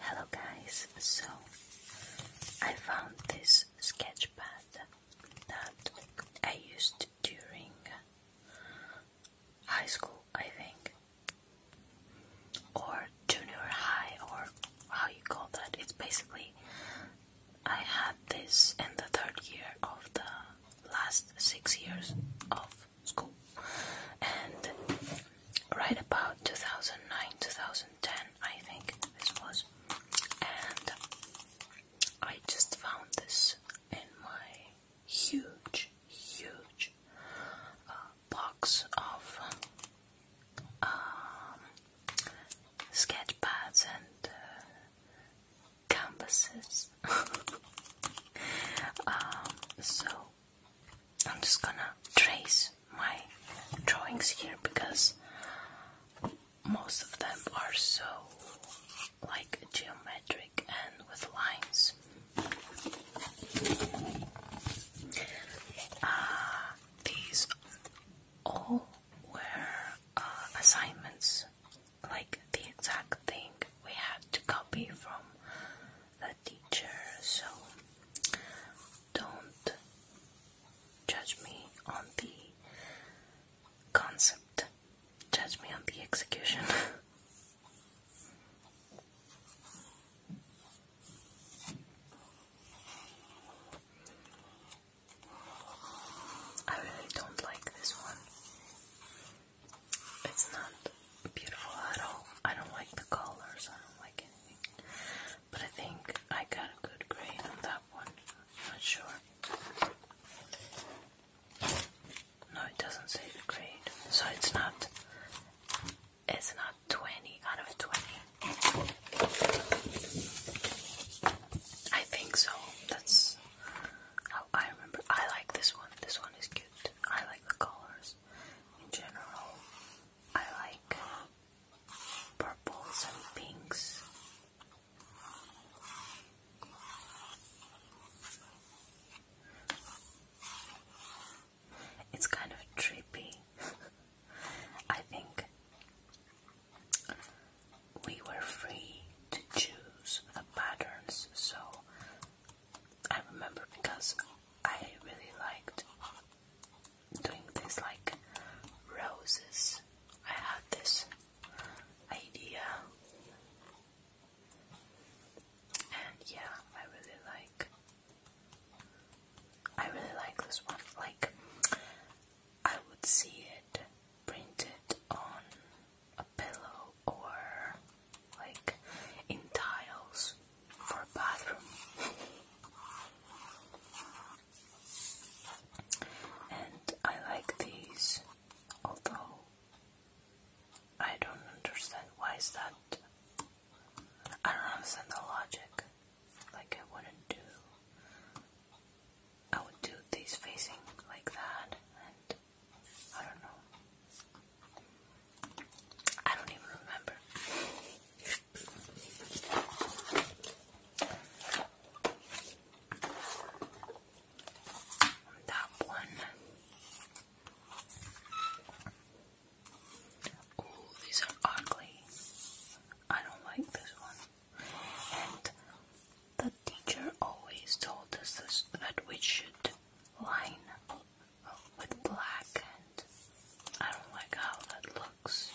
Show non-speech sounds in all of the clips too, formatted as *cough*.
Hello guys, so I found this sketch pad that I used during high school, I think, or junior high, or how you call that. It's basically I had this in the third year of the last six years of school. And right about 2009, 2010, I think this was. And I just found this in my huge, huge uh, box of um, sketch pads and uh, canvases. *laughs* Um, so I'm just gonna trace my drawings here because most of them are so like geometric and with lines. Uh, these all were uh, assignments, like the exact thing we have to copy from the teacher, so don't judge me on the concept, judge me on the execution. *laughs* I really don't like this one. It's not beautiful at all. I don't like the colors, I don't like anything. But I think I got a good grade on that one. not sure. No, it doesn't say the grade. So it's not it's not 20 out of 20. I think so. That's I remember. I like this one. This one is cute. I like the colors in general. I like purples and pinks. It's kind of trippy. *laughs* I think we were free to choose the patterns, so I remember because I really liked doing this like roses. I had this idea. And yeah, I really like I really like this one. Like I would see it printed on a pillow or like in tiles for bathroom. and I like these, although I don't understand why is that. I don't understand the logic. Like I wouldn't do. I would do these facing like that, and I don't know. I don't even remember. That one. Oh, these are ugly. I don't like this one. The teacher always told us that we should line with black, and I don't like how that looks,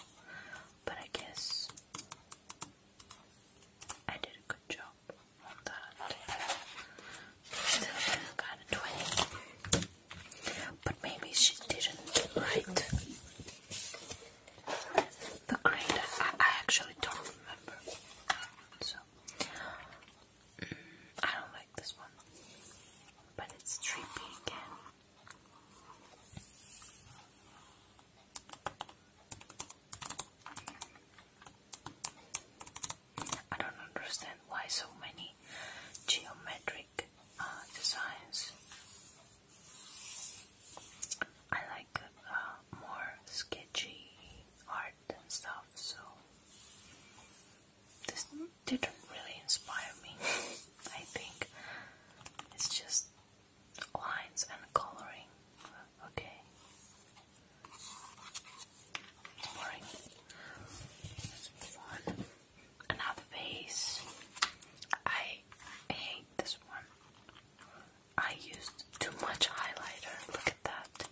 but I guess I did a good job on that. Still did 20, but maybe she didn't write. The grade, I actually don't remember. So, I don't like this one, but it's trippy again. I don't understand why so many geometric uh, designs. I like uh, more sketchy art and stuff, so this didn't really inspire me. I think it's just lines and coloring. Okay. boring. Another vase. I hate this one. I used too much highlighter. Look at that.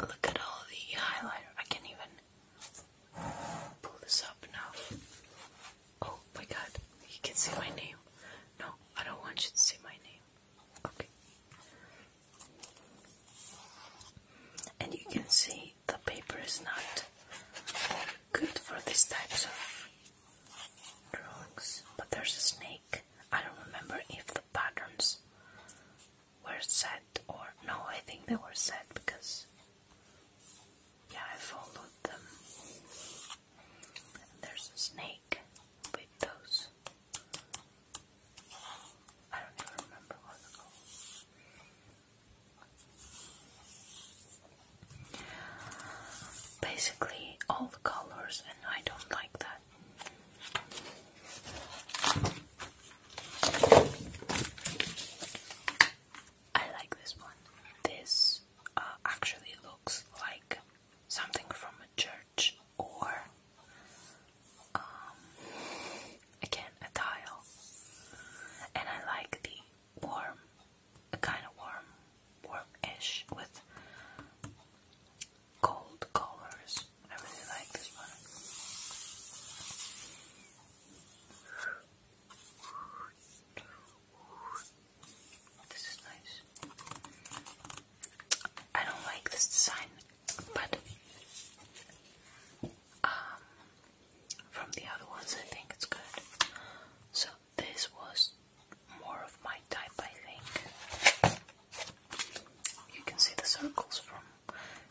Look at all the highlighter. I can't even pull this up now. Oh my god, you can see my name. No, I don't want you to see my name. Okay. And you can see the paper is not good for these types of drawings, but there's a snake. I don't remember if the patterns were set or no, I think they were set because yeah, I followed them. there's a snake with those. I don't even remember what they're Basically, all the colors, and I don't like that. I like this one. This uh, actually looks like something from a church or um, again a tile, and I like the warm kind of warm, warm with gold colors. I really like this one. This is nice. I don't like this design, but um, from the other ones, I think it's good. So this was more of my type, I think. You can see the circles from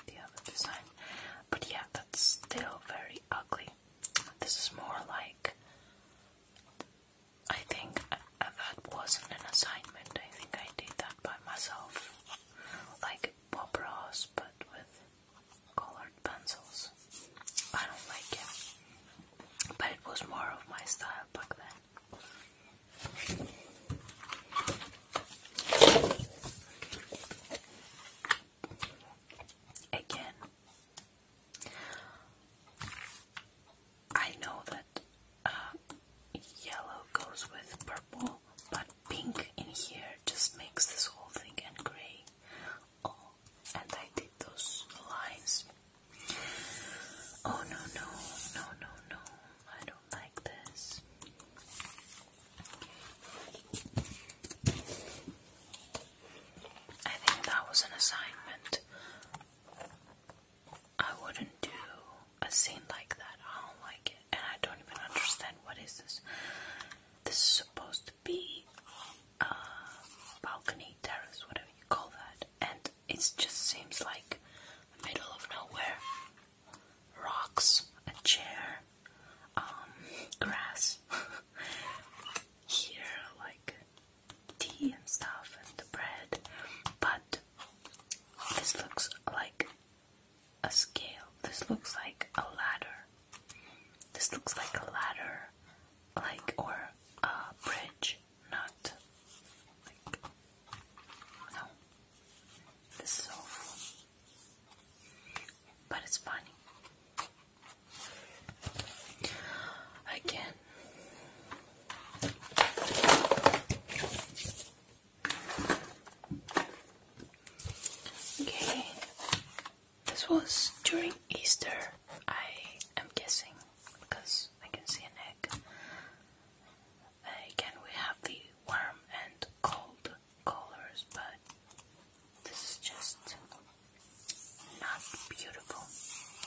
the other design, but yeah, that's still very ugly. This is more like I think uh, uh, that wasn't an assignment. I think I did that by myself, like Bob Ross, but with colored pencils. I don't like it but it was more of my style back then. Again, I know that uh, yellow goes with purple, but pink in here just makes this whole thing and grey Oh, and I did those lines. Oh no, no, no, no, no. I don't like this. I think that was an assignment. I wouldn't do a scene like that. I don't like it. And I don't even understand what is this. This is supposed to be um, balcony, terrace, whatever you call that, and it just seems like middle of nowhere. Rocks, a chair, um, grass. *laughs* Here, like tea and stuff, and bread, but this looks like a scale. This looks like a ladder this looks like a ladder, like, or a bridge, not like. No. This is awful. But it's funny. Again. Okay. This was during Easter, I am guessing, because I can see an egg. Again, we have the warm and cold colors, but this is just not beautiful,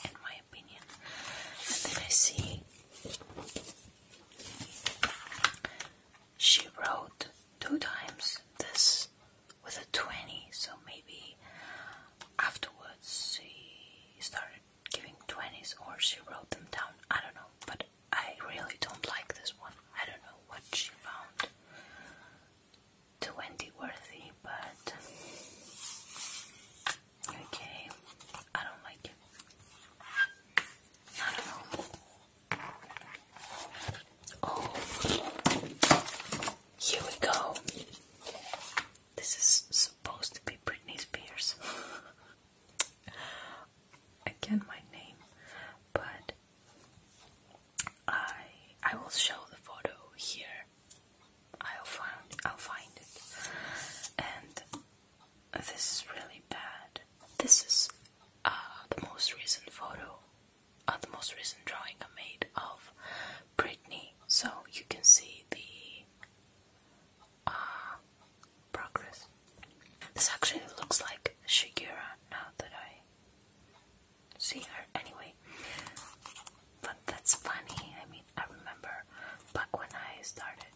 in my opinion. And then I see she wrote two times this with a 20, so maybe afterwards she started giving 20s or she wrote them down. I don't know, but I really don't like this one. I don't know what she found 20 worthy, but okay, I don't like it. I don't know. Oh. Here we go. This is supposed to be Britney Spears. *laughs* Again, my name, but I I will show the photo here. I'll find I'll find it, and this is really bad. This is uh, the most recent photo the most recent drawing I made of Brittany, so you can see the uh, progress. This actually looks like Shigura now that I see her anyway. But that's funny, I mean, I remember back when I started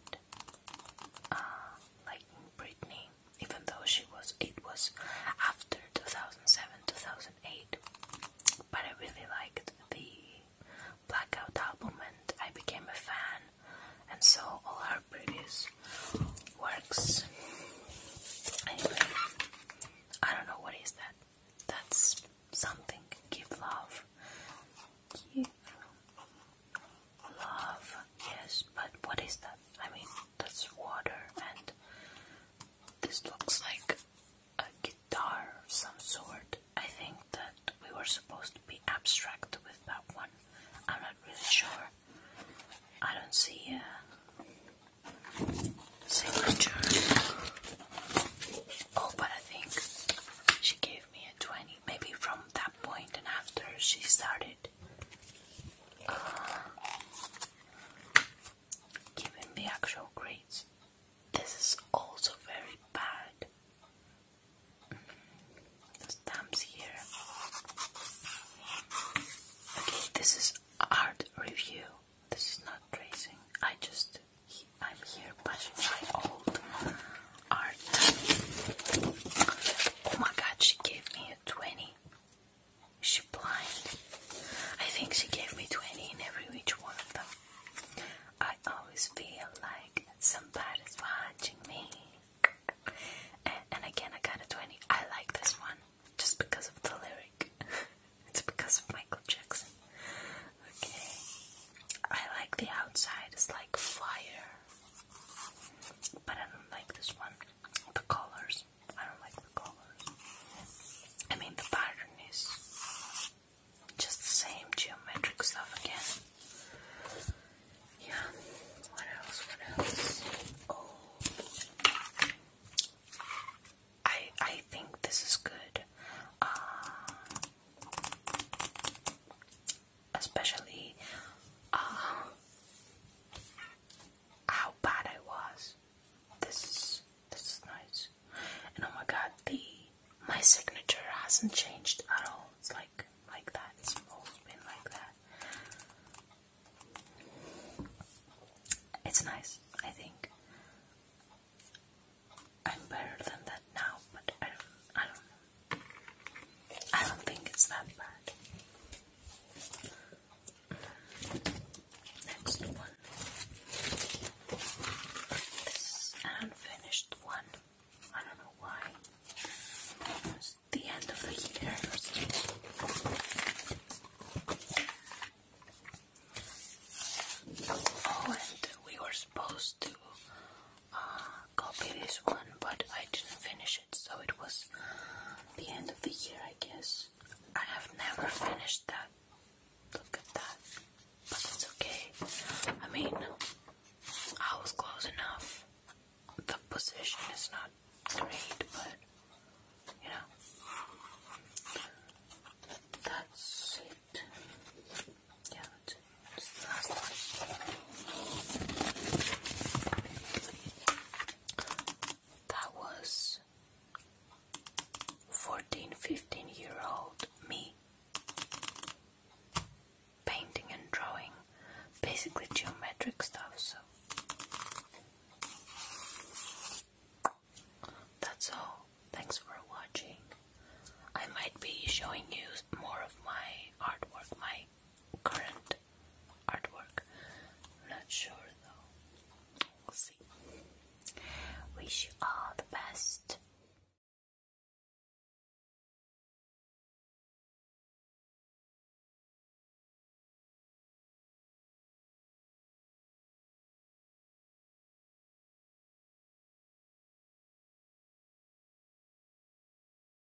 uh, liking Britney, even though she was it was after 2007-2008. But I really liked the Blackout album and I became a fan and saw all her previous works. I don't know what is that. That's something. Give love. love. Yes, but what is that? I mean, that's water and this looks like a guitar of some sort. I think that we were supposed to be abstract with that one. I'm not really sure. I don't see a signature. Oh, but I think she gave me a 20. Maybe from that point and after she started. Uh, Given the actual grades, this is also very bad. Mm-hmm. stamps here. Okay, this is art review. This is not tracing. I just I'm here bashing my old art. Oh my god, she gave me a 20. She blind. I think she gave me 20 in every which one of them. I always feel like somebody's watching me. And, and again, I got a 20. I like this one just because of the lyric. *laughs* it's because of Michael Jackson. Okay. I like the outside. It's like fire. But I don't like this one. The colors. I don't like the colors. I mean, the pattern is just the same geometric stuff again. Yeah, what else? What else? Oh. I I think this is good. Uh, especially uh, how bad I was. This is this is nice. And oh my god, the my signature hasn't changed at all. It's like like that. It's always been like that. It's nice, I think. I'm better than that now, but I don't I don't I don't think it's that bad. Next one. This unfinished one. I don't know why. It's the end of the year Oh, and we were supposed to uh, copy this one, but I didn't finish it, so it was the end of the year, I guess. I have never finished that. Look at that. But it's okay. I mean, I was close enough. The position is not great, but you know. That's it. Yeah, that was 14, 15 year old me painting and drawing basically geometric stuff. So that's all. Thanks for watching. I might be showing you more of my artwork, my current artwork. i not sure though. see. Wish you all the best.